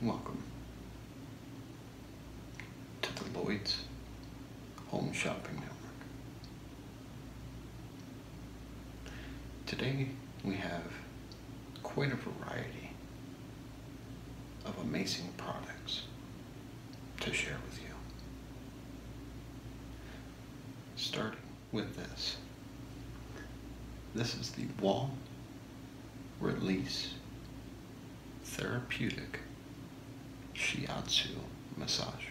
Welcome to the Lloyd's Home Shopping Network. Today we have quite a variety of amazing products to share with you. Starting with this. This is the wall release, therapeutic shiatsu massage.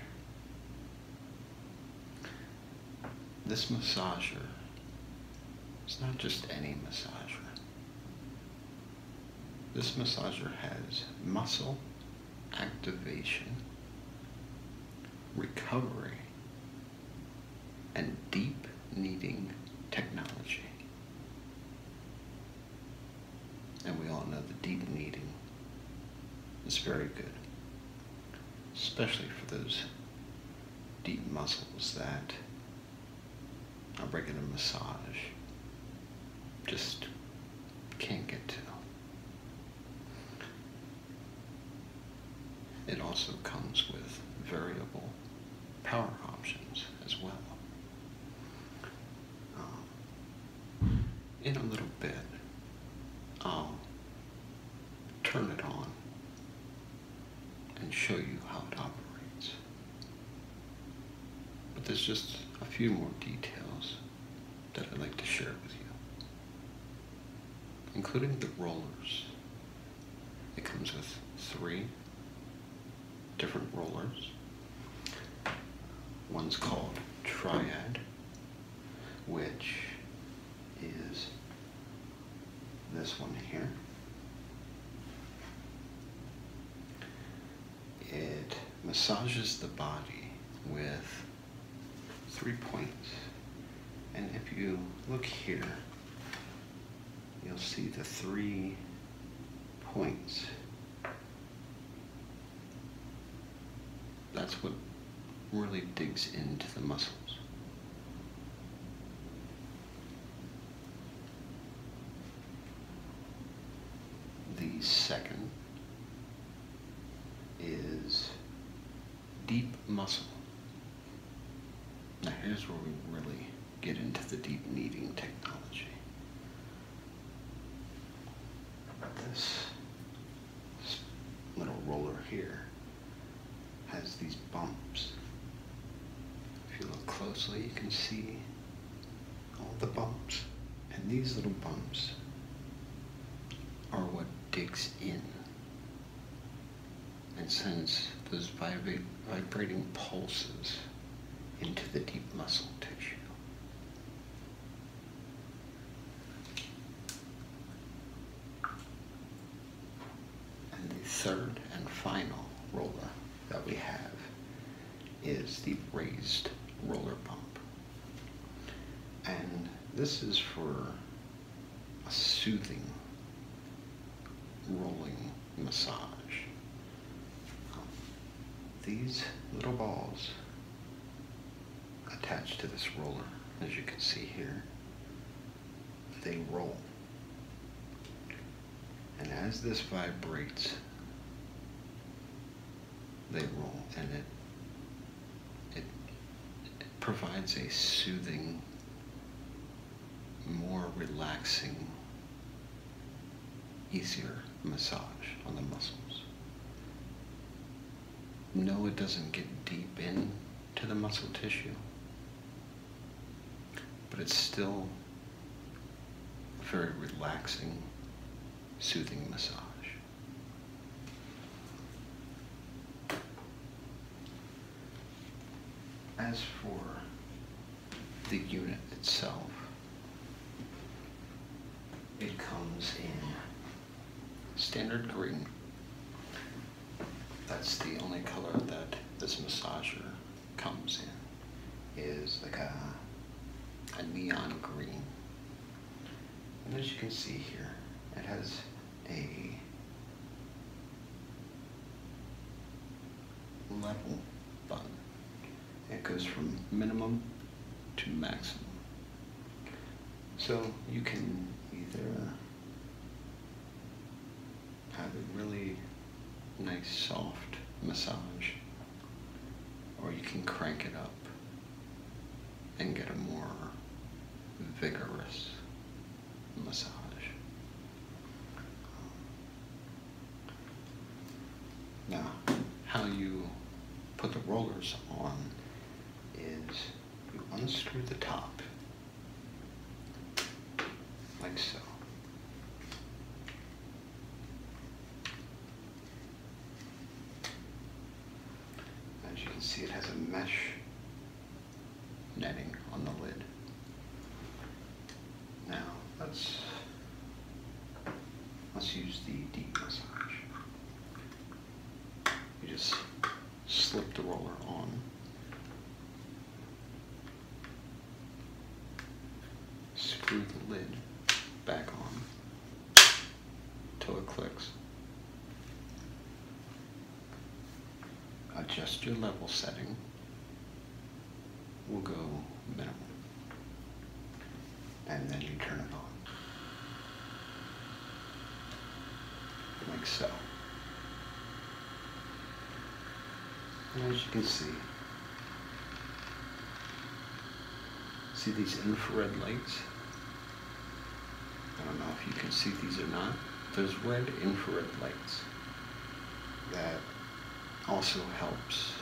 This massager is not just any massager. This massager has muscle activation, recovery, and deep needing technology. And we all know the deep needing is very good, especially for those deep muscles that I'm a massage just can't get to. It also comes with variable power options as well. Um, in a little bit, I'll turn it on and show you how it operates. But there's just a few more details that I'd like to share with you, including the rollers it comes with three different rollers. One's called Triad, which is this one here. It massages the body with three points. And if you look here, you'll see the three points. That's what really digs into the muscles. The second is deep muscle. Now here's where we really get into the deep kneading technology. This, little roller here has these bumps. If you look closely, you can see all the bumps. And these little bumps are what digs in and sends those vibrating pulses into the deep muscle tissue. And the third and final roller that we have is the raised roller pump. And this is for a soothing rolling massage. Um, these little balls attached to this roller, as you can see here, they roll. And as this vibrates, they roll and it, it provides a soothing more relaxing, easier massage on the muscles. No, it doesn't get deep into the muscle tissue, but it's still a very relaxing, soothing massage. As for the unit itself. It comes in standard green. That's the only color that this massager comes in, is like a, neon green. And as you can see here, it has a level button. It goes from minimum to maximum. So you can either uh, have a really nice soft massage or you can crank it up and get a more vigorous massage. Now, how you put the rollers on is you unscrew the top, like so. As you can see, it has a mesh netting on the lid. Now, let's, let's use the deep massage. You just slip the roller on. Screw the lid back on until it clicks. Adjust your level setting we'll go minimal. And then you turn it on. Like so. as you can see, see these infrared lights? I don't know if you can see these or not. Those red infrared lights that also helps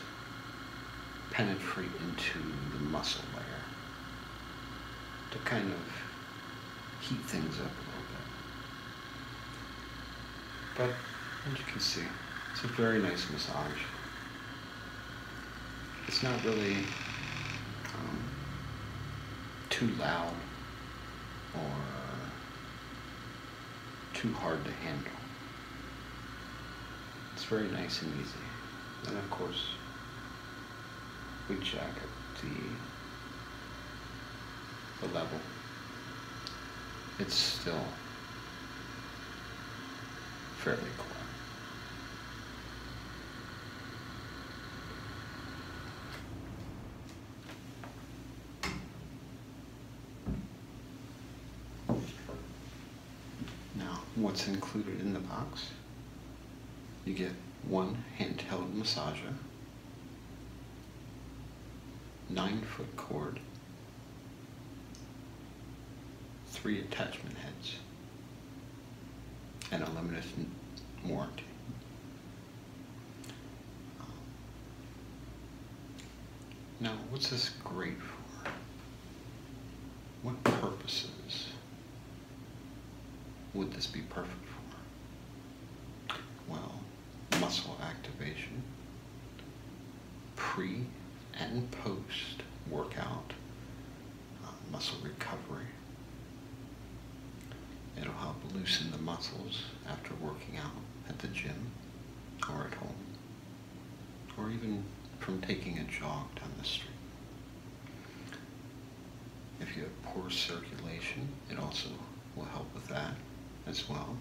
penetrate into the muscle layer to kind of heat things up a little bit. But as you can see, it's a very nice massage. It's not really um, too loud or too hard to handle. It's very nice and easy. And of course, we check the, the level. It's still fairly Cool. Now, what's included in the box? You get one handheld massager, nine foot cord, three attachment heads, and a limited warranty now, what's this great for? What purposes would this be perfect for? Well, muscle activation, pre and post workout, uh, muscle recovery. It'll help loosen the muscles after working out at the gym or at home or even from taking a jog down the street. If you have poor circulation, it also will help with that as well.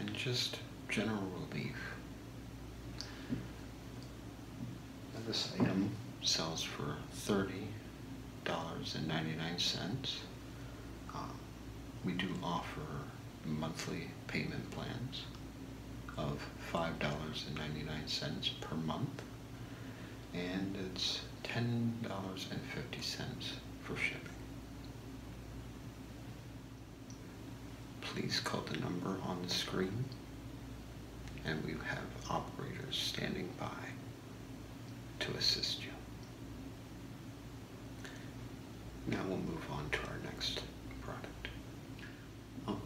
And just general relief. this item sells for $30.99. Uh, we do offer monthly payment plans of $5.99 per month and it's $10.50 for shipping. Please call the number on the screen and we have operators standing by to assist you. Now we'll move on to our next product. Oh,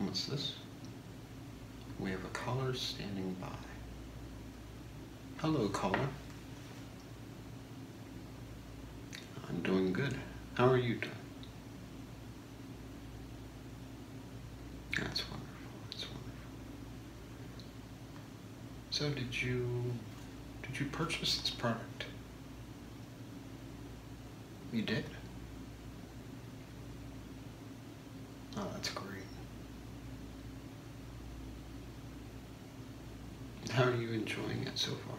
what's this? We have a caller standing by. Hello, caller. I'm doing good. How are you doing? That's wonderful. That's wonderful. So did you did you purchase this product? You did? Oh, that's great. How are you enjoying it so far?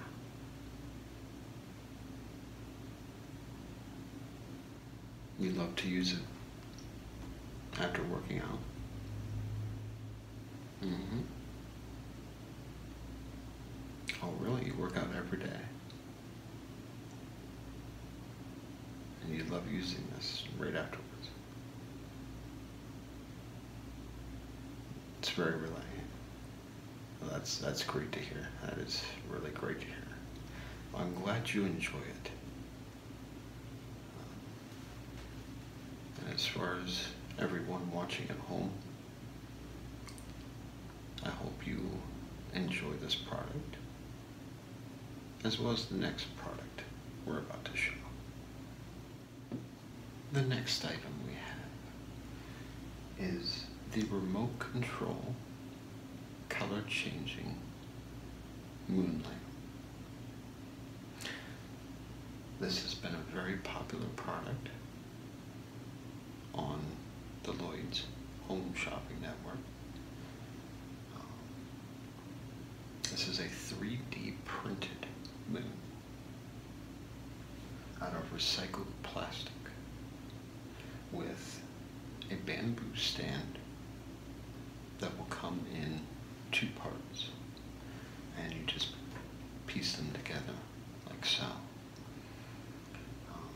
You love to use it after working out. Mm-hmm. Oh, really? You work out every day. And you love using this right afterwards. It's very relaxing. that's, that's great to hear. That is really great to hear. I'm glad you enjoy it. Uh, and as far as everyone watching at home, I hope you enjoy this product as well as the next product we're about to show. The next item we have is the remote control color changing moonlight. This has been a very popular product on the Lloyd's Home Shopping Network. Um, this is a 3D printed moon out of recycled plastic with a bamboo stand that will come in two parts and you just piece them together like so. Um,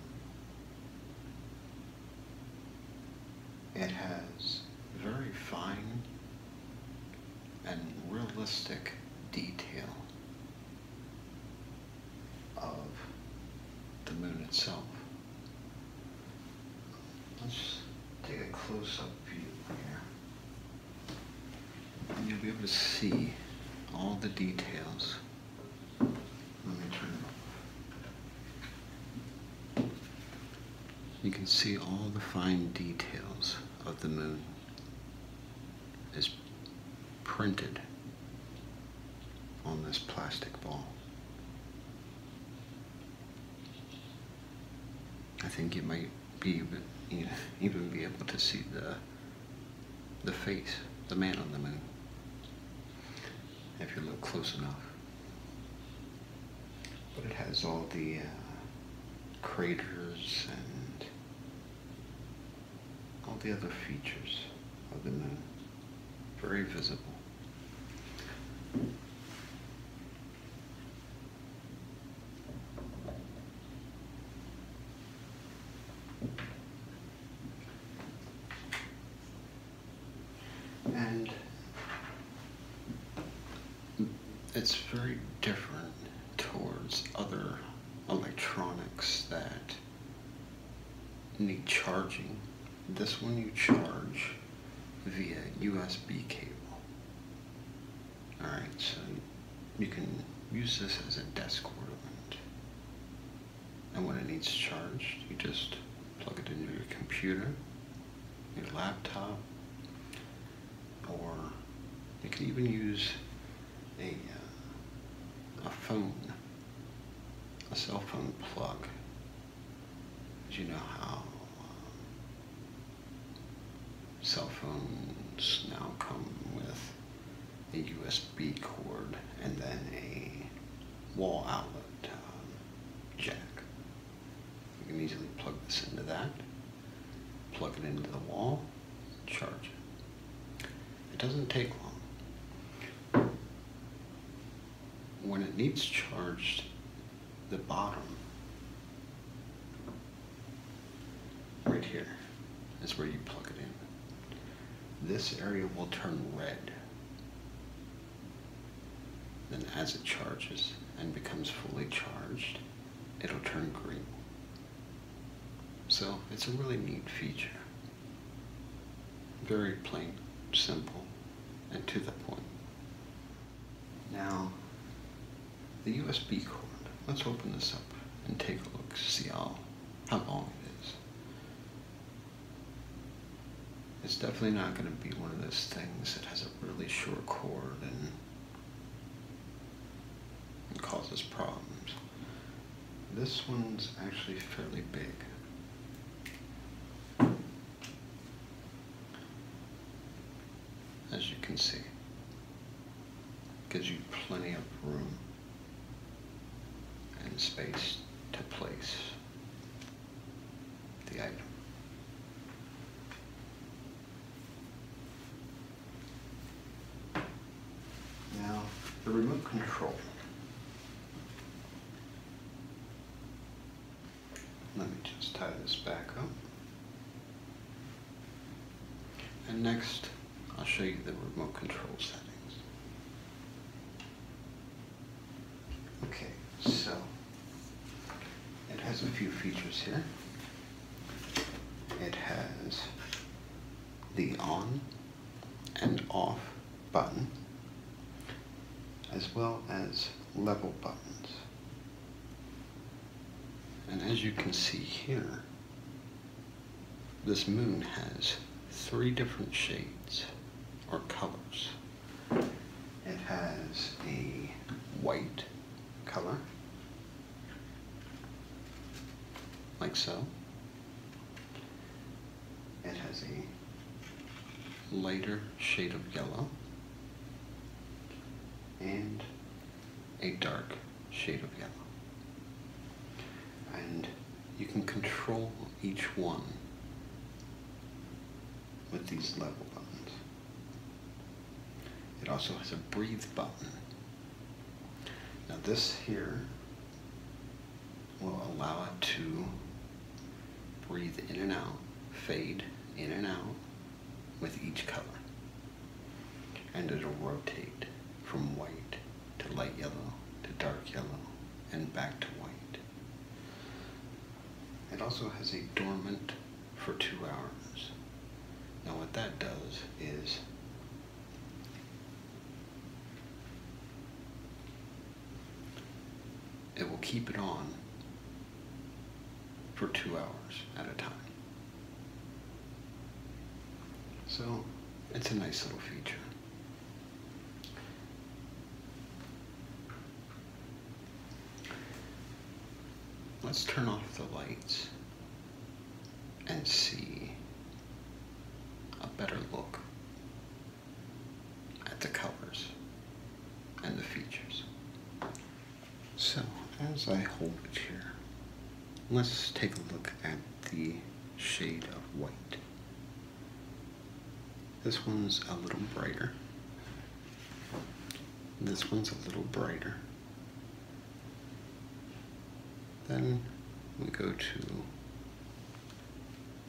it has very fine and realistic detail of the moon itself. Let's take a close-up view here you'll be able to see all the details. You can see all the fine details of the moon as printed on this plastic ball. I think it might be even be able to see the the face, the man on the moon, if you look close enough. But it has all the uh, craters and all the other features of the moon, very visible. And it's very different towards other electronics that need charging. This one you charge via USB cable. Alright, so you can use this as a desk ornament. And when it needs charged, you just plug it into your computer, your laptop, or you can even use a, uh, a phone, a cell phone plug. Do you know how um, cell phones now come with a USB cord and then a wall outlet um, jack. You can easily plug this into that, plug it into the wall, charge it. It doesn't take long. When it needs charged, the bottom Right here is where you plug it in. This area will turn red. Then as it charges and becomes fully charged, it'll turn green. So it's a really neat feature. Very plain, simple, and to the point. Now, the USB cord. Let's open this up and take a look, see how, how long it is. It's definitely not going to be one of those things that has a really short cord and, and causes problems. This one's actually fairly big. as you can see gives you plenty of room and space to place the item. Now, the remote control. Let me just tie this back up. And next, I'll show you the remote control settings. Okay, so it has a few features here. It has the on and off button, as well as level buttons. And as you can see here, this moon has three different shades or colors. It has a white color, like so. It has a lighter shade of yellow and a dark shade of yellow. And you can control each one with these level buttons. It also has a breathe button. Now this here will allow it to breathe in and out, fade in and out with each color and it'll rotate from white to light yellow to dark yellow and back to white. It also has a dormant for two hours. Now what that does is it will keep it on for two hours at a time. So it's a nice little feature. Let's turn off the lights and see a better look at the colors and the features. So as I hold it here, let's take a look at the shade of white. This one's a little brighter. This one's a little brighter. Then we go to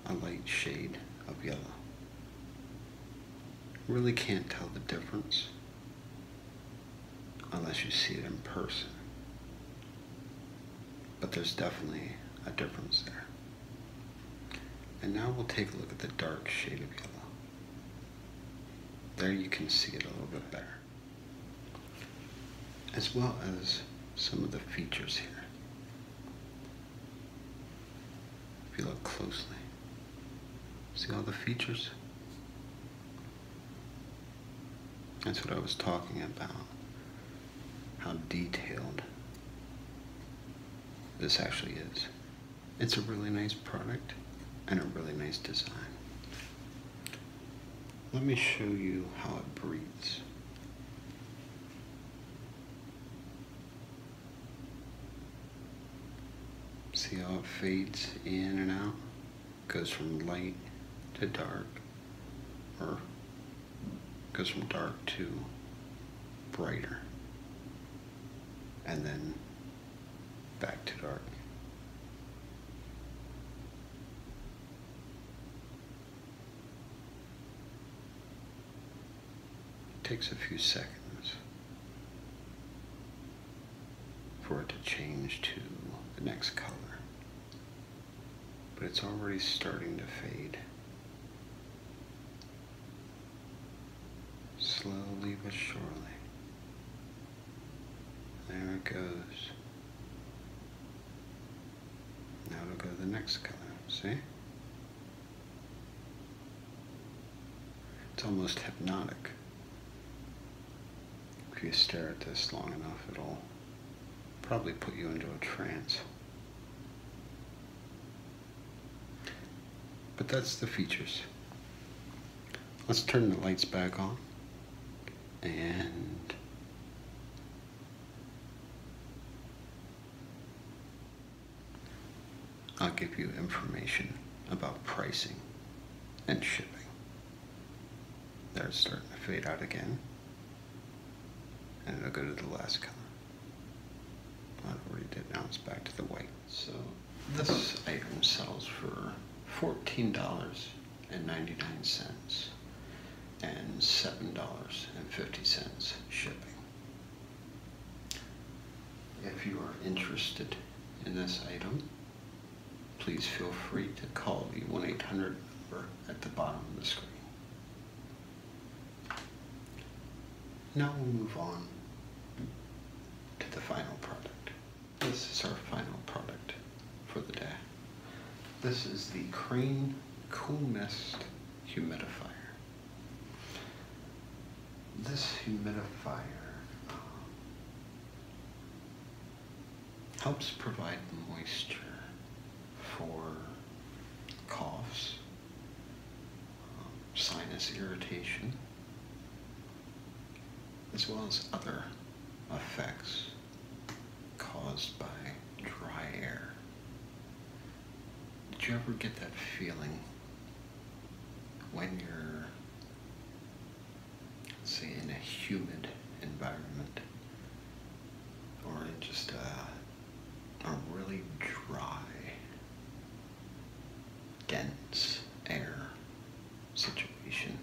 a light shade of yellow. Really can't tell the difference unless you see it in person. But there's definitely a difference there. And now we'll take a look at the dark shade of yellow. There you can see it a little bit better. As well as some of the features here. If you look closely, see all the features? That's what I was talking about. How detailed this actually is. It's a really nice product and a really nice design. Let me show you how it breathes. See how it fades in and out? goes from light to dark, or goes from dark to brighter, and then back to dark. It takes a few seconds for it to change to the next color but it's already starting to fade. Slowly but surely. There it goes. Now we will go to the next color, see? It's almost hypnotic. If you stare at this long enough, it'll probably put you into a trance. But that's the features. Let's turn the lights back on and I'll give you information about pricing and shipping. They're starting to fade out again. And it'll go to the last color. I already did, now it's back to the white. So this item sells for $14.99 and $7.50 shipping. If you are interested in this item, please feel free to call the 1-800 number at the bottom of the screen. Now we'll move on to the final product. This is our final product for the day. This is the Crane Cool Mist Humidifier. This humidifier uh, helps provide moisture for coughs, um, sinus irritation, as well as other effects caused by dry air. Did you ever get that feeling when you're, say, in a humid environment or it just uh, a really dry, dense air situation,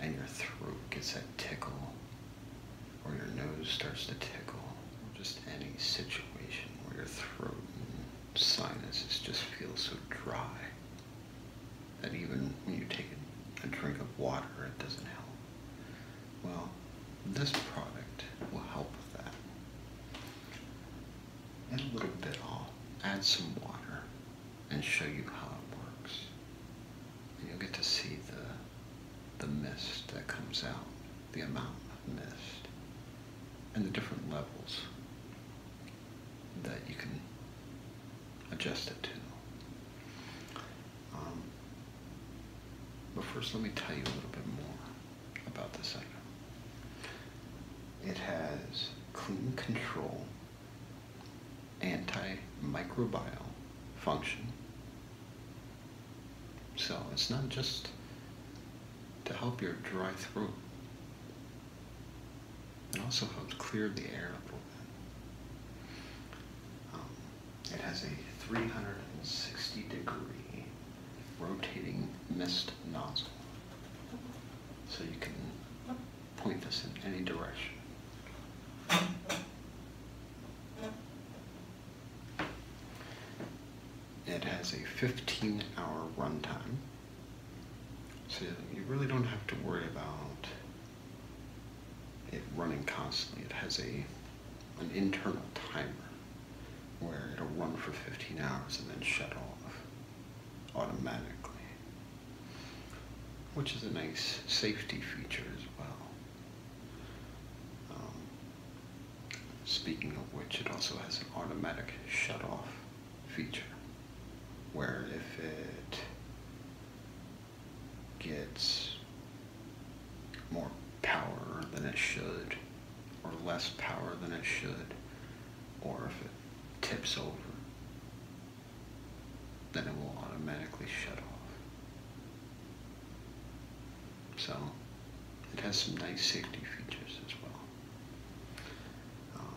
and your throat gets that tickle, or your nose starts to tickle, or just any situation where your throat and sinuses just feel so dry that even when you take a drink of water, it doesn't help. Well, this product will help with that. In a little bit, I'll add some water and show you how it works. you'll get to see the, the mist that comes out, the amount of mist, and the different levels that you can adjust it to. Um, but first, let me tell you a little bit more about this item. It has clean control, antimicrobial function. So it's not just to help your dry throat. It also helps clear the air a little bit. Um, it has a 360 degree rotating mist nozzle. So you can point this in any direction. It has a 15 hour runtime. So you really don't have to worry about it running constantly. It has a an internal timer where it'll run for 15 hours and then shut off automatically, which is a nice safety feature as well. Um, speaking of which, it also has an automatic shut off feature where if it gets more power than it should, or less power than it should, or if it tips over, then it will automatically shut off. So it has some nice safety features as well. Um,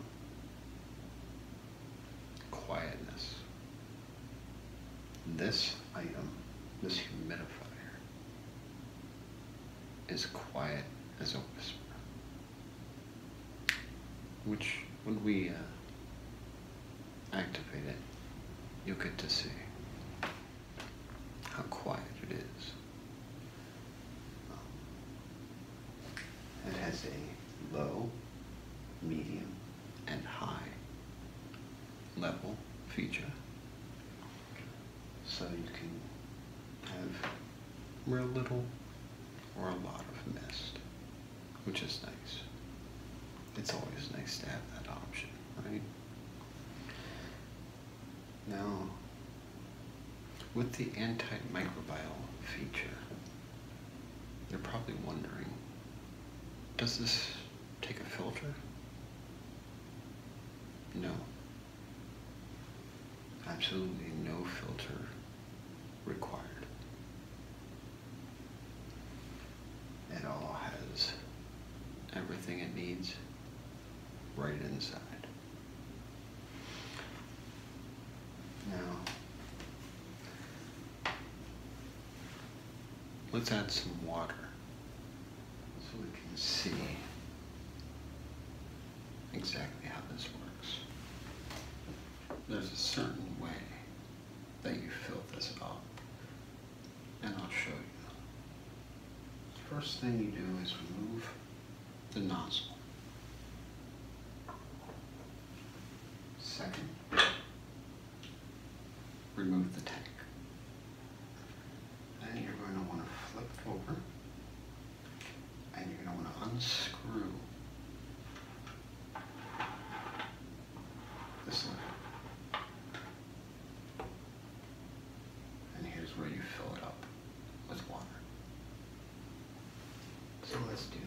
quietness. This item, this humidifier, is quiet as a whisper. Which, when we uh, activate it, you'll get to see how quiet it is. Um, it has a low, medium, and high level feature. So you can have real little or a lot of mist, which is nice. It's always nice to have that option, right? Now, with the antimicrobial feature, you are probably wondering, does this take a filter? No. Absolutely no filter required. It all has everything it needs right inside. Now, Let's add some water so we can see exactly how this works. There's a certain way that you fill this up and I'll show you. First thing you do is remove the nozzle. Second, remove the tank. Then you're going to want to flip over and you're going to want to unscrew this one, And here's where you fill it up with water. So let's do that.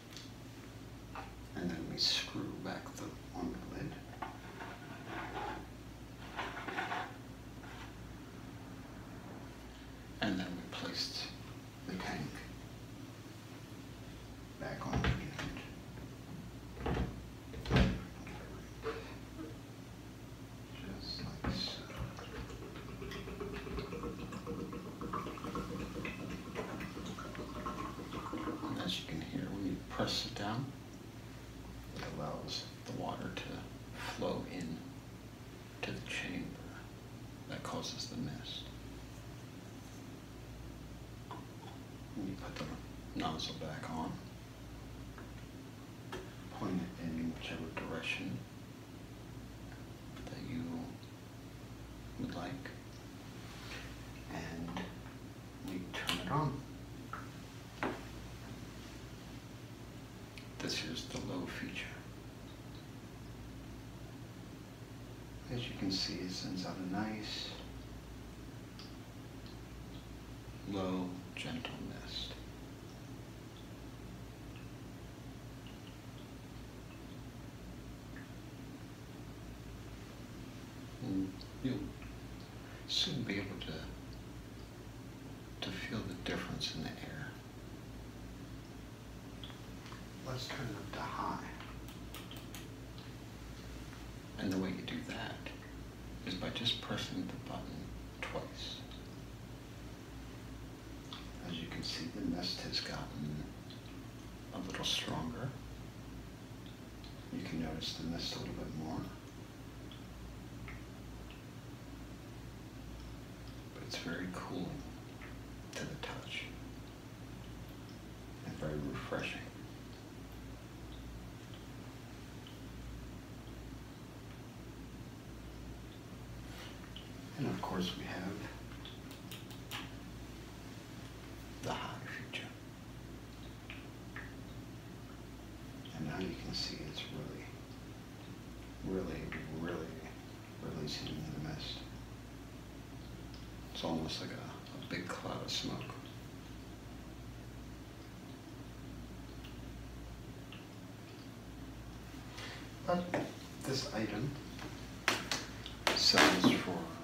and then we screw back the lid, And then we placed the tank back on the unit. Just like so as you can hear, when you press it down, it allows the water to flow in to the chamber that causes the mist. you put the nozzle back on, point it in whichever direction that you would like. And we turn it on. This is the low feature. As you can see, it sends out a nice, low, gentle mist you'll soon be able to, to feel the difference in the air. Let's turn it up to high. And the way you do that is by just pressing the button twice. As you can see, the nest has gotten a little stronger. You can notice the mist a little bit more. But it's very cool to the touch and very refreshing. And of course we have the hot future. And now you can see it's really, really, really releasing into the mist. It's almost like a, a big cloud of smoke. But this item sells for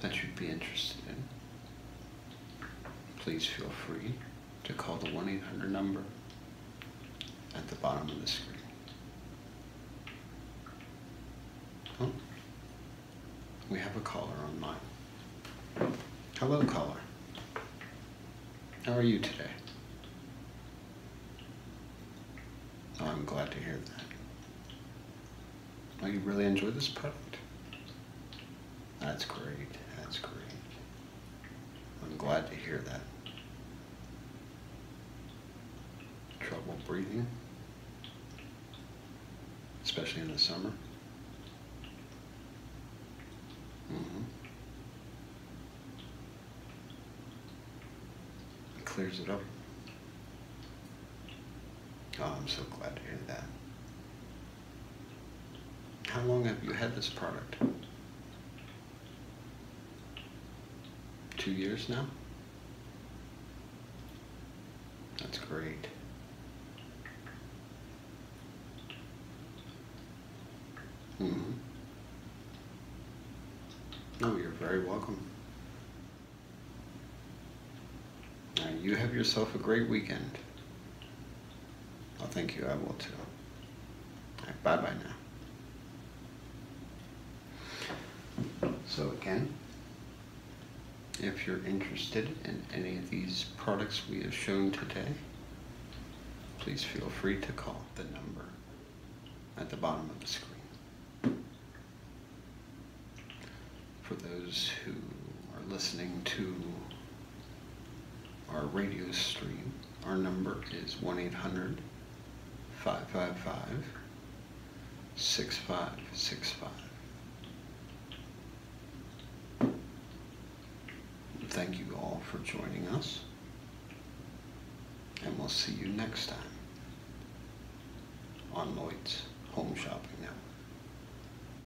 that you'd be interested in, please feel free to call the 1 800 number at the bottom of the screen. Oh, we have a caller on line. Hello, caller. How are you today? Oh, I'm glad to hear that. Are you really enjoying this product? That's great. That's great. I'm glad to hear that. Trouble breathing, especially in the summer. Mm-hmm. clears it up. Oh, I'm so glad to hear that. How long have you had this product? Two years now? That's great. Mm-hmm. No, you're very welcome. Now you have yourself a great weekend. I thank you. I will too. bye bye now. So again, if you're interested in any of these products we have shown today, please feel free to call the number at the bottom of the screen for those who are listening to our radio stream, our number is 1 800 555 6565. Thank you all for joining us, and we'll see you next time on Lloyd's Home Shopping Network.